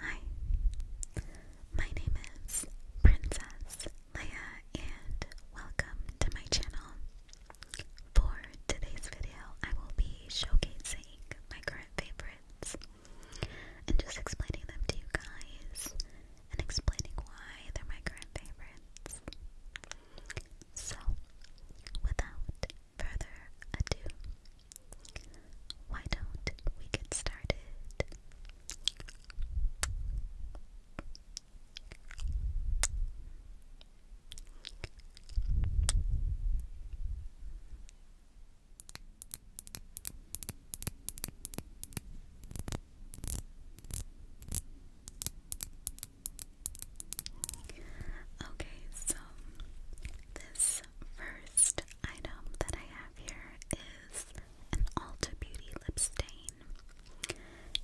Hi, my name is Princess Leia, and welcome to my channel. For today's video, I will be showcasing my current favorites and just explaining them to you guys and explaining why they're my current favorites. So, without further ado, why don't we get started? Okay, so this first item that I have here is an Ulta Beauty lip stain.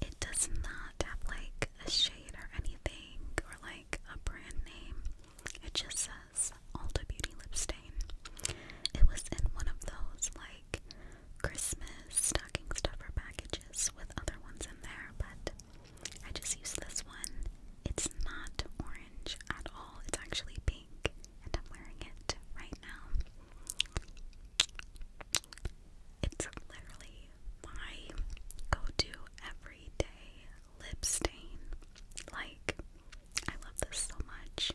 It does not have like a shade or anything or like a brand name. It just says Ulta Beauty lip stain. It was in one of those like Christmas stocking stuffer packages with other ones in there, but I just used this one. It's not orange at all. It's actually pink, and I'm wearing it right now. It's literally my go-to everyday lip stain. Like, I love this so much.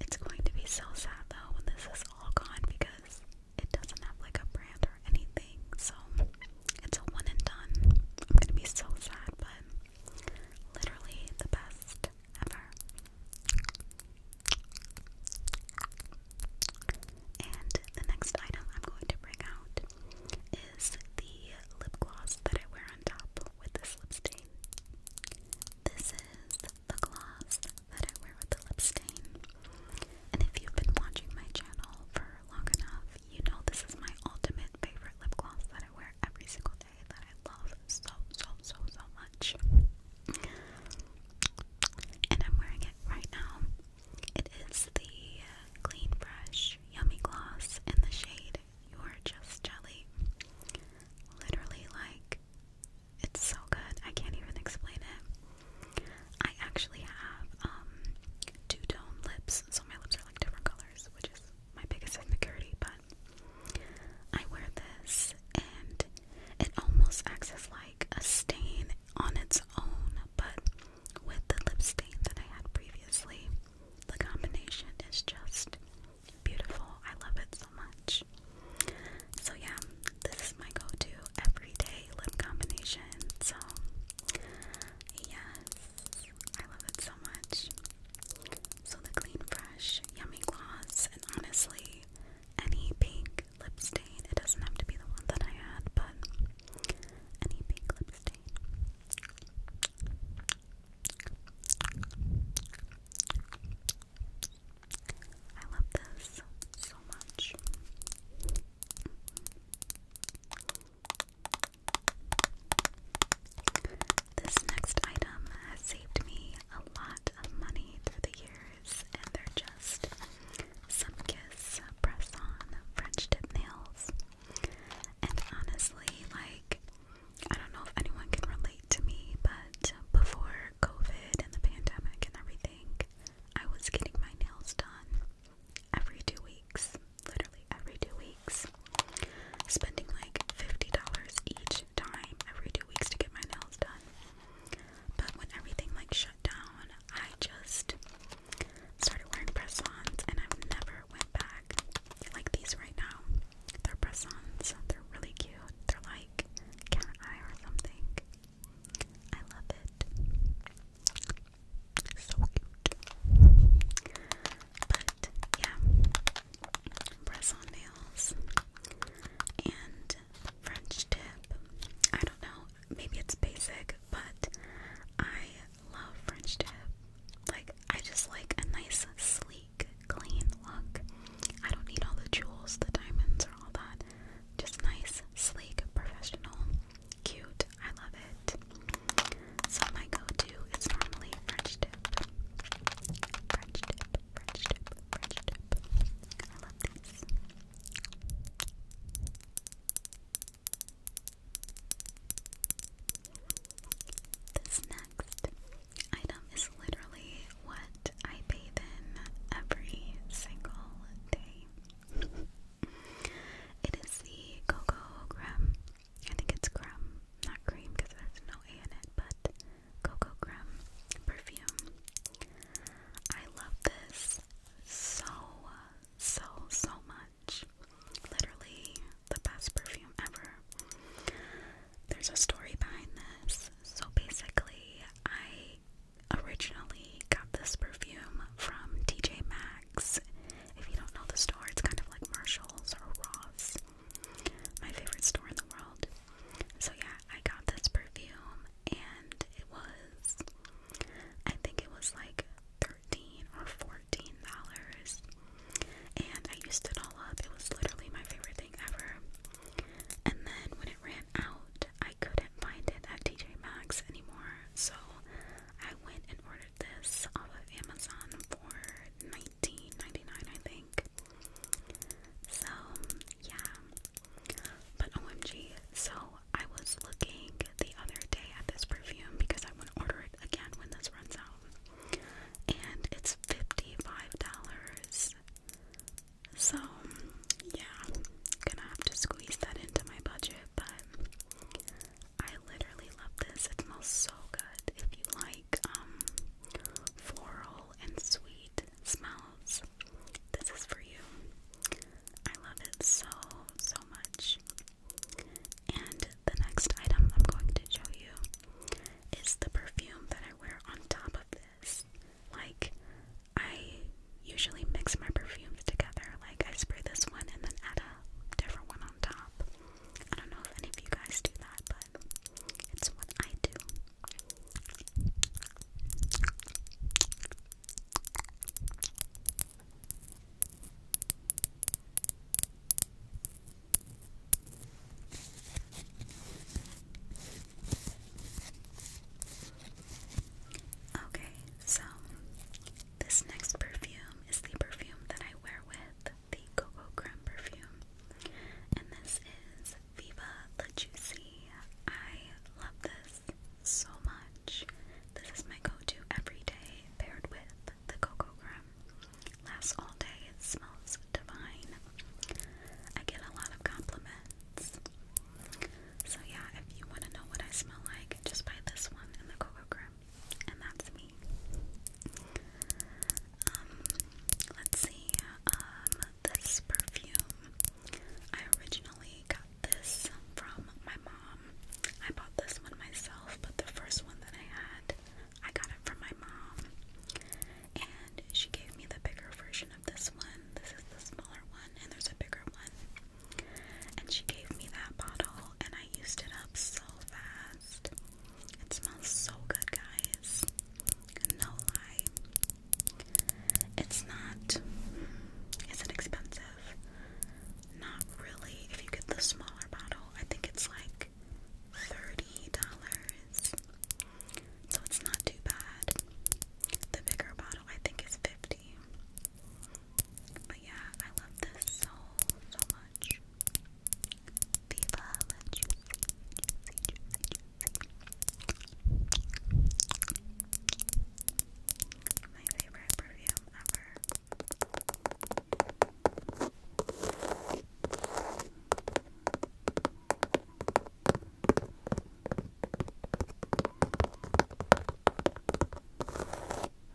It's going to be so sad though when this is all gone because it doesn't have like a brand or anything. So it's a one and done. I'm gonna be so sad, but Literally the best ever. And the next item I'm going to bring out is the lip gloss that I wear on top with this lip This is the gloss that I wear with the lip And if you've been watching my channel for long enough, you know this is my ultimate favorite lip gloss that I wear every single day that I love so, so, so, so much. And I'm wearing it right now. It is the Clean Fresh Yummy Gloss in the shade you Just Jelly. Literally, like, it's so good. I can't even explain it. I actually have um, two tone lips, so my lips are like different colors, which is my biggest insecurity, but I wear this and it almost acts as like a stain on its own, but with the lip stain that I had previously, the combination is just beautiful. I love it so much. So, yeah, this is my go to everyday lip combination. So, yes. I love it so much. So the Clean Fresh Yummy Gloss, and honestly, any pink lip stain, it doesn't have to be the one that I had, but any pink lip stain. I love this so much. This next item has saved me a lot of money through the years, and they're just some kiss press on French tip nails. And honestly, like, I don't know if anyone can relate to me, but before COVID and the pandemic and everything, I was getting my nails done every two weeks, literally every two weeks, spending like $50 each time every two weeks to get my nails done. But when everything like shut down, I just started wearing press-ons and I've never went back. Like these right now. They're press-ons. They're really cute. They're like cat eye or something. I love it. So cute. But yeah, press nails and French tip. I don't know, maybe it's basic, but I love French tip. Like, I just like a nice, sleek, clean look. I don't need all the jewels, the diamonds, or all that. Just nice, sleek, professional cute. I love it. So my go-to is normally French dip. French dip, French dip, French dip. I love these. This next item is literally what I bathe in every single day. It is the cocoa creme. I think it's creme, not cream because there's no A in it, but cocoa creme perfume. I love this so, so, so much. Literally the best perfume ever. There's a story behind this. So basically, I originally got this perfume from TJ Max. Saks. If you don't know the store, it's kind of like Marshalls or Ross. My favorite store in the world. So yeah, I got this perfume and it was I think it was like thirteen or fourteen dollars. And I used it all up. It was literally my favorite thing ever. And then when it ran out, I couldn't find it at TJ Maxx anymore. So I went and ordered this off of Amazon for $19.99, I think. So, yeah. But OMG, so I was looking the other day at this perfume because I want to order it again when this runs out. And it's $55. So, yeah, gonna have to squeeze that into my budget, but I literally love this. It smells so good. If you like um floral and sweet smells, this is for you. I love it so so much. And the next item I'm going to show you is the perfume that I wear on top of this. Like I usually mix my perfume together. Like I spray this one and then add a different one on top. I don't know if any of you guys do that, but it's what I do. Okay, so this next perfume is the perfume that I wear with the Coco Creme perfume, and this is Viva La Juicy. I love this so much. This is my go-to every day, paired with the Coco Creme. Lasts all day. It smells divine. I get a lot of compliments. So yeah, if you want to know what I smell like, just buy this one and the Coco Creme and that's me. Um, let's see. Um, this perfume. I originally got this from my mom. I bought this one myself, but the first one that I had, I got it from my mom. And she gave me the bigger version of this one. This is the smaller one, and there's a bigger one. And she gave me that bottle, and I used it up so fast. It smells so good, guys. No lie. It's not. Is it expensive? Not really. If you get the smaller bottle, I think it's like $30. So it's not too bad. The bigger bottle, I think, is 50 but yeah, I love this so, so much. Viva la juicy, juicy, juicy, juicy. My favorite perfume ever.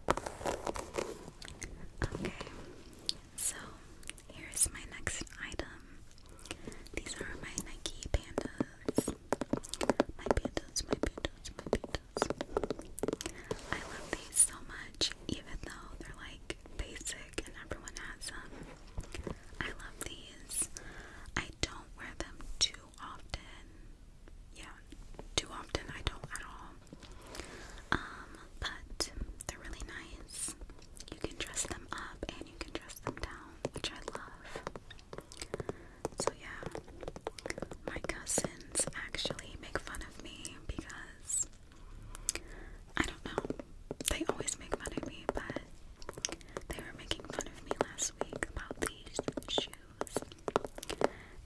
Okay, so here's my next item. These are my Nike pandas. My pandas, my pandas, my pandas. I love these so much, even though they're like basic and everyone has them. I love these. I don't wear them too often yeah, too often I don't at all. Um, but they're really nice. You can dress them up and you can dress them down, which I love. So yeah, my cousins actually make fun of me because I don't know. They always make fun of me, but they were making fun of me last week about these shoes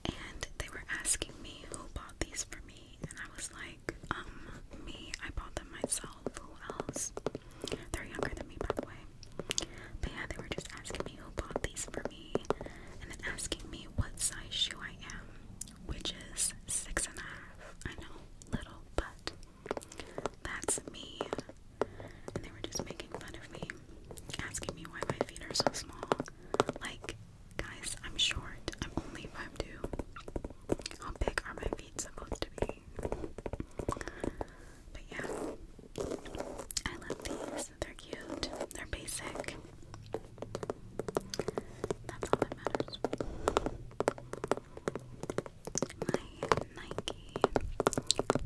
and they were asking me who bought these for me, and I was like, um, me, I bought them myself, who else? They're younger than me, by the way. But yeah, they were just asking me who bought these for me, and then asking me what size shoe I am, which is six and a half. I know, little, but that's me. And they were just making fun of me asking me why my feet are so small. Like, guys, I'm short. I'm only five 5'2. How big are my feet supposed to be? But yeah, I love these. They're cute. They're basic. That's all that matters. My Nike, Nike,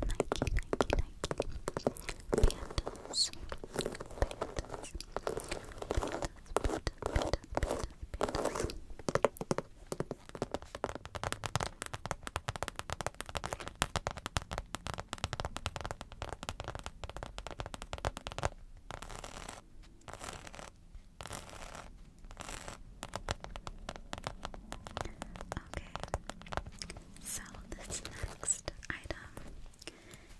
Nike, Nike. Pandas. Pandas. Okay, so this next next item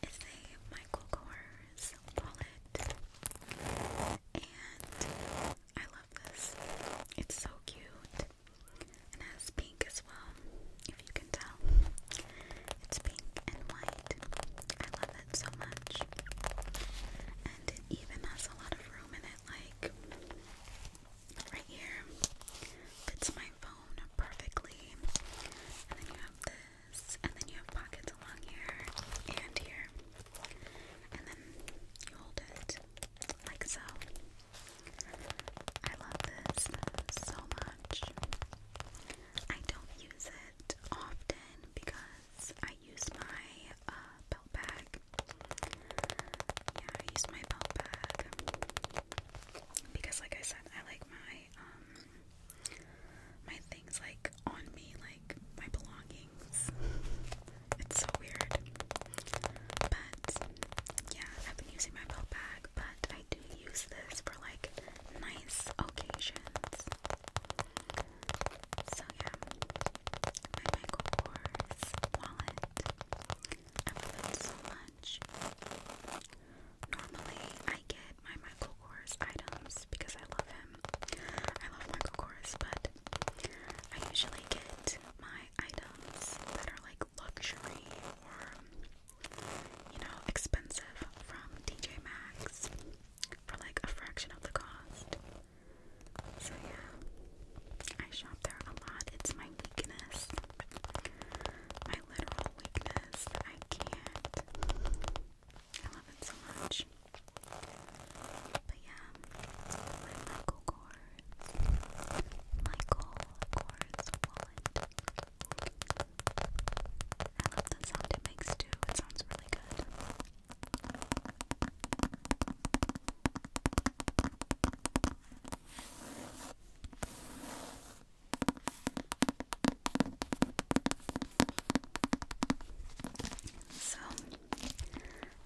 is a Michael Kors wallet. And I love this. It's so cute. It has pink as well, if you can tell. It's pink and white. I love it so much. And it even has a lot of room in it, like right here. Fits my phone perfectly. And then you have this. And then you have pockets along here and here. And then you hold it like so. I love this so much. I don't use it often because I use my uh, belt bag. Yeah, I use my belt bag because like I said, I like my um, my things like on me, like my belongings. It's so weird. But yeah, I've been using my belt bag, but I do use this for like nice occasions. So yeah. My Michael Kors wallet. I love it so much. Normally, I get my Michael Kors items because I love him. I love Michael Kors, but I usually get my items that are like luxury or, you know, expensive from DJ Maxx for like a fraction of the cost. So, yeah. I shop there a lot. It's my weakness. My literal weakness. I can't. I love it so much. But yeah, Michael Kors. Michael Kors wallet. I love the sound it makes too. It sounds really good. So,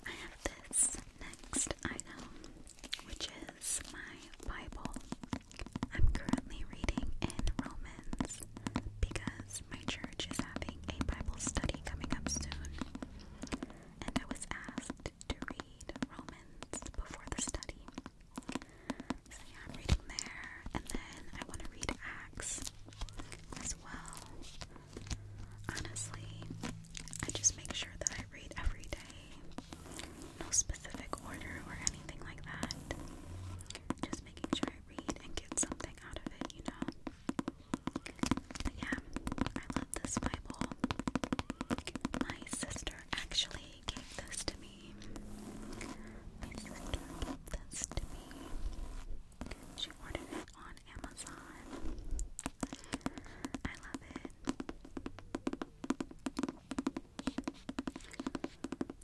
I have this next item, which is my Bible. I'm currently reading in Romans because my church is having a Bible study coming up soon, and I was asked to read Romans before the study. So yeah, I'm reading there, and then I want to read Acts as well. Honestly, I just make sure that I read every day. No specific order or anything like that. Just making sure I read and get something out of it, you know? But yeah, I love this Bible. My sister actually gave this to me. She ordered it on Amazon. I love it.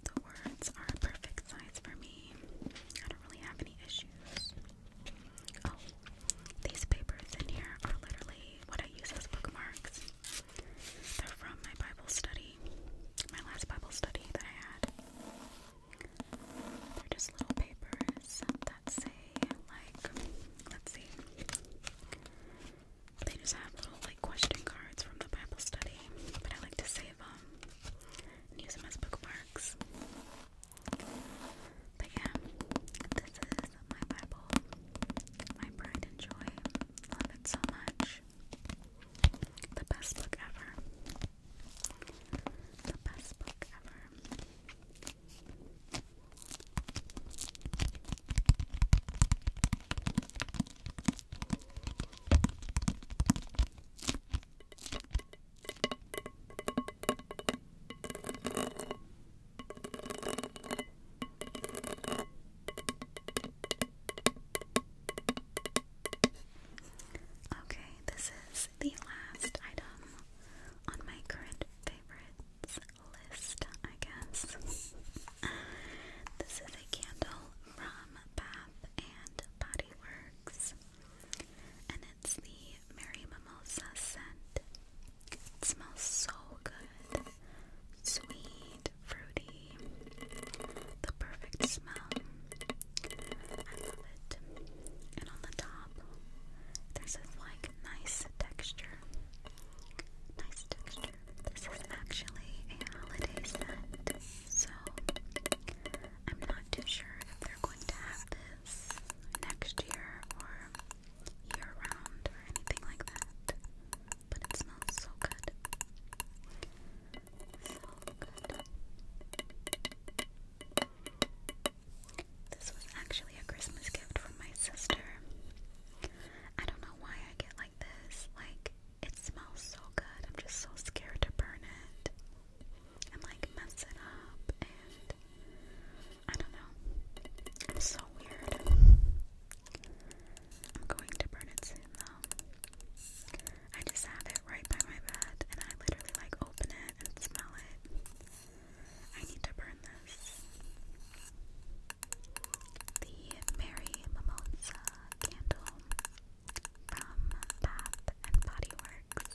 The words are a perfect size for me. I don't really have any issues. Oh, these papers in here are literally what I use as bookmarks. They're from my Bible study, my last Bible study that I had. They're just little papers that say, like, let's see. They just have little, like, question cards from the Bible study, but I like to save them and use them as bookmarks. But yeah, this is of my Bible, my pride and joy. Love it so much. The best book ever. The best book ever. Okay, this is the last item on my current favorites list, I guess. this is a candle from Bath and Body Works, and it's the Mary Mimosa scent it smells so good. Sweet, fruity. The perfect smell. I love it. And on the top, there's this like nice texture. Nice texture. This is actually a holiday scent. So I'm not too sure if they're going to have this next year or year round or anything like that. But it smells so good. So good. This was actually a Christmas gift from my sister. I don't know why I get like this. Like, it smells so good. I'm just so scared to burn it and like mess up and I don't know. It's so weird. I'm going to burn it soon though. I just have it right by my bed and I literally like open it and smell it. I need to burn this. The Mary Mimosa candle from Bath and Body Works.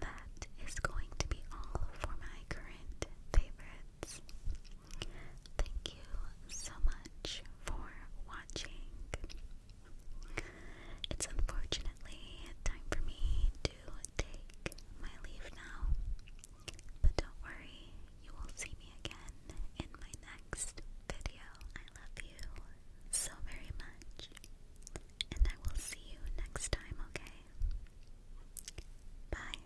That is going to be all for my current favorites. Thank you so much for watching. It's unfortunately time for me to take my leave now. But don't worry, you will see me again in my next video. I love you so very much, and I will see you next time, okay? Bye.